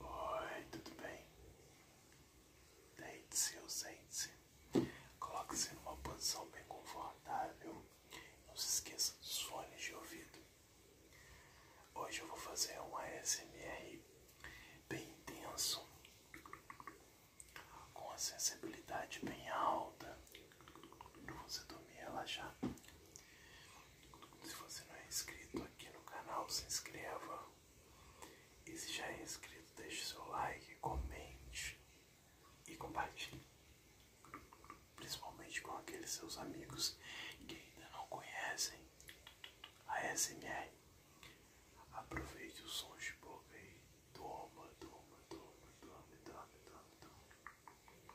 Oi, tudo bem? Deite-se ou sente-se. Coloque-se numa posição bem confortável. Não se esqueça dos fones de ouvido. Hoje eu vou fazer um ASMR bem intenso, com a sensibilidade bem alta para você dormir e relaxar. Se você não é inscrito aqui no canal, se inscreva. E se já é inscrito, deixe seu like, comente e compartilhe. Principalmente com aqueles seus amigos que ainda não conhecem a SMR. Aproveite os sons de boca e toma, toma, toma, toma, toma, toma.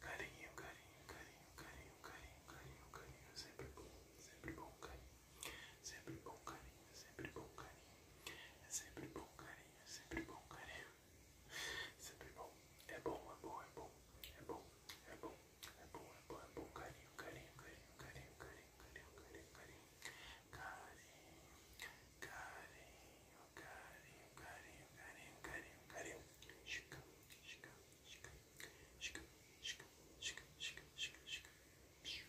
Carinho, carinho, carinho, carinho, carinho, carinho, carinho, sempre bom, sempre bom, carinho. Sempre bom carinho, sempre bom carinho. É sempre bom carinho, é sempre bom carinho. É é sempre bom. É bom, é bom, é bom. É bom, é bom, é bom, é bom, é bom. Carinho, carinho, carinho, carinho, carinho, carinho, carinho, carinho. Carinho, carinho, carinho, carinho, carinho, carinho, carinho. Chica, chica, chica, chica, chica, chica, chica, chica, chica.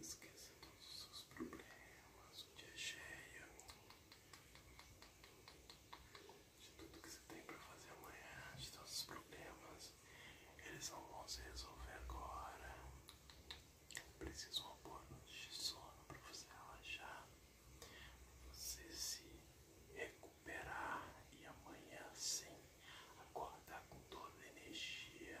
Esqueça todos os seus problemas, o dia é cheio, de tudo que você tem para fazer amanhã, de todos os problemas, eles não vão se resolver agora. Preciso uma boa noite de sono para você relaxar, você se recuperar e amanhã sim acordar com toda a energia.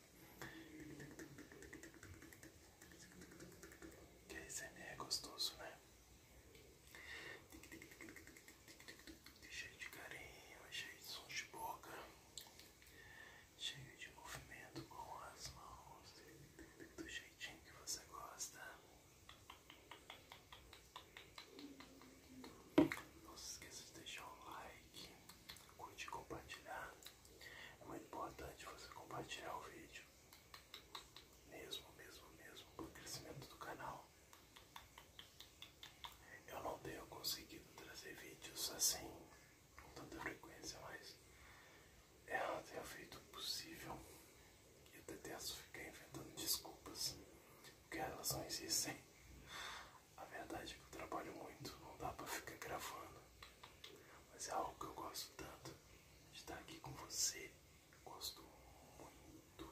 Que ASMR é gostoso, né? Cheio de carinho, cheio de sons de boca, cheio de movimento com as mãos, do jeitinho que você gosta. Não se esqueça de deixar um like, curte e compartilhar. É muito importante você compartilhar o vídeo. Mesmo, mesmo, mesmo para o crescimento do canal. Eu não tenho conseguido trazer vídeos assim com tanta frequência, mas eu tenho feito o possível. E eu detesto ficado inventando desculpas, porque elas não existem. A verdade é que eu trabalho muito, não dá pra ficar gravando. Mas é algo que eu gosto tanto de estar aqui com você. Gosto muito,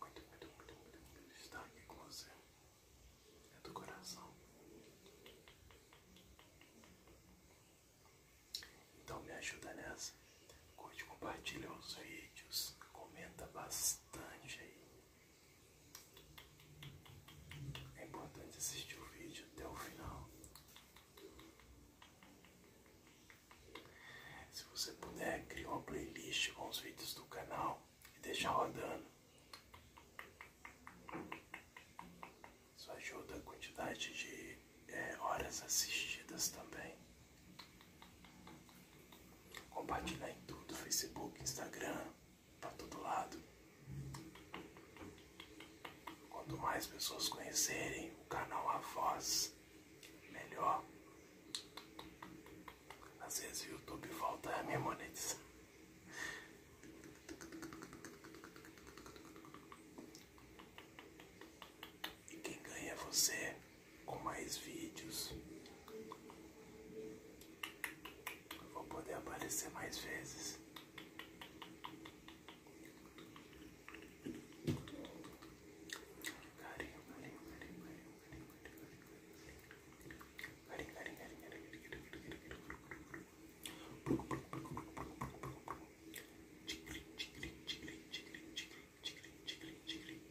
muito, muito, muito, muito, muito de estar aqui com você. É do coração. Então me ajuda nessa. Curte, compartilha os vídeos, comenta bastante aí. É importante assistir o vídeo até o final. Se você puder, crie uma playlist com os vídeos do canal e deixa rodando. Isso ajuda a quantidade de é, horas assistidas também. Compartilhe em tudo, Facebook, Instagram para tá todo lado. Quanto mais pessoas conhecerem o canal A Voz, melhor. Às vezes o YouTube volta a me monetizar. E quem ganha é você com mais vídeos vou poder aparecer mais vezes. Carinho, carinho, carinho, carinho, carinho, carinho, carinho, carinho, carinho, carinho, carinho, carinho,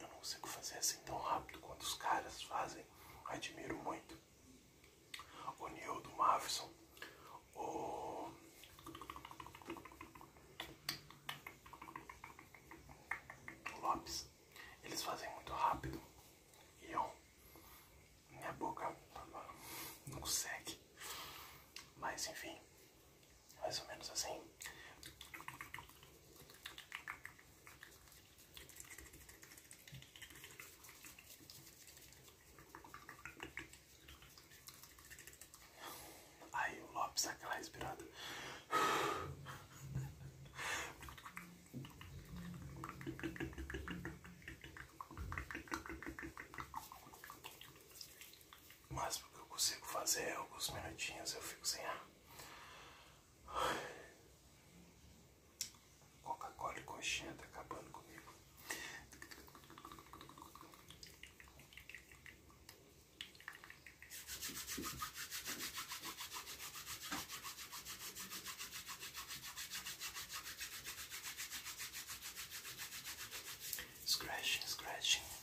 Eu não consigo fazer assim tão rápido quanto os caras fazem. Admiro muito. O Neil do Mavison. O. O Lopes. Eles fazem muito rápido. E eu. Minha boca não consegue. Mas enfim. Mais ou menos assim. Aí o Lopes aquela respirada. O máximo que eu consigo fazer é alguns minutinhos eu fico sem ar. Coca-Cola e coxinha tá acabando comigo. Scratching, scratching.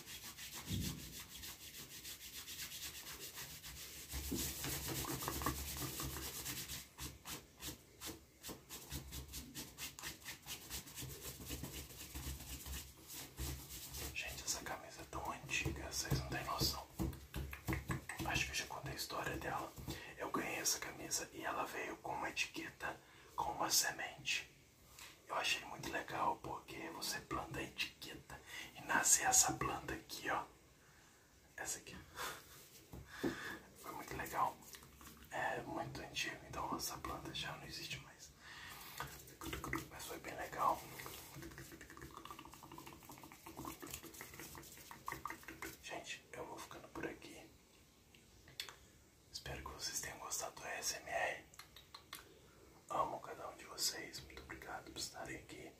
Gente, essa camisa é tão antiga, vocês não têm noção. Acho que eu já contei a história dela. Eu ganhei essa camisa e ela veio com uma etiqueta com uma semente. Eu achei muito legal porque você planta a etiqueta e nasce essa planta aqui, ó. Essa aqui. Foi muito legal. É muito antigo, então essa planta já não existe mais. Mas foi bem legal. Gente, eu vou ficando por aqui. Espero que vocês tenham gostado do ASMR. Amo cada um de vocês. Muito obrigado por estarem aqui.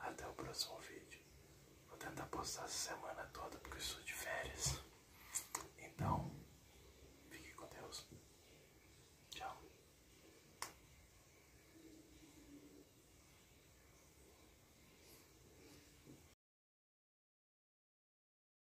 Até o próximo vídeo. Vou tentar postar essa semana toda porque estou de férias. Então, fique com Deus. Tchau.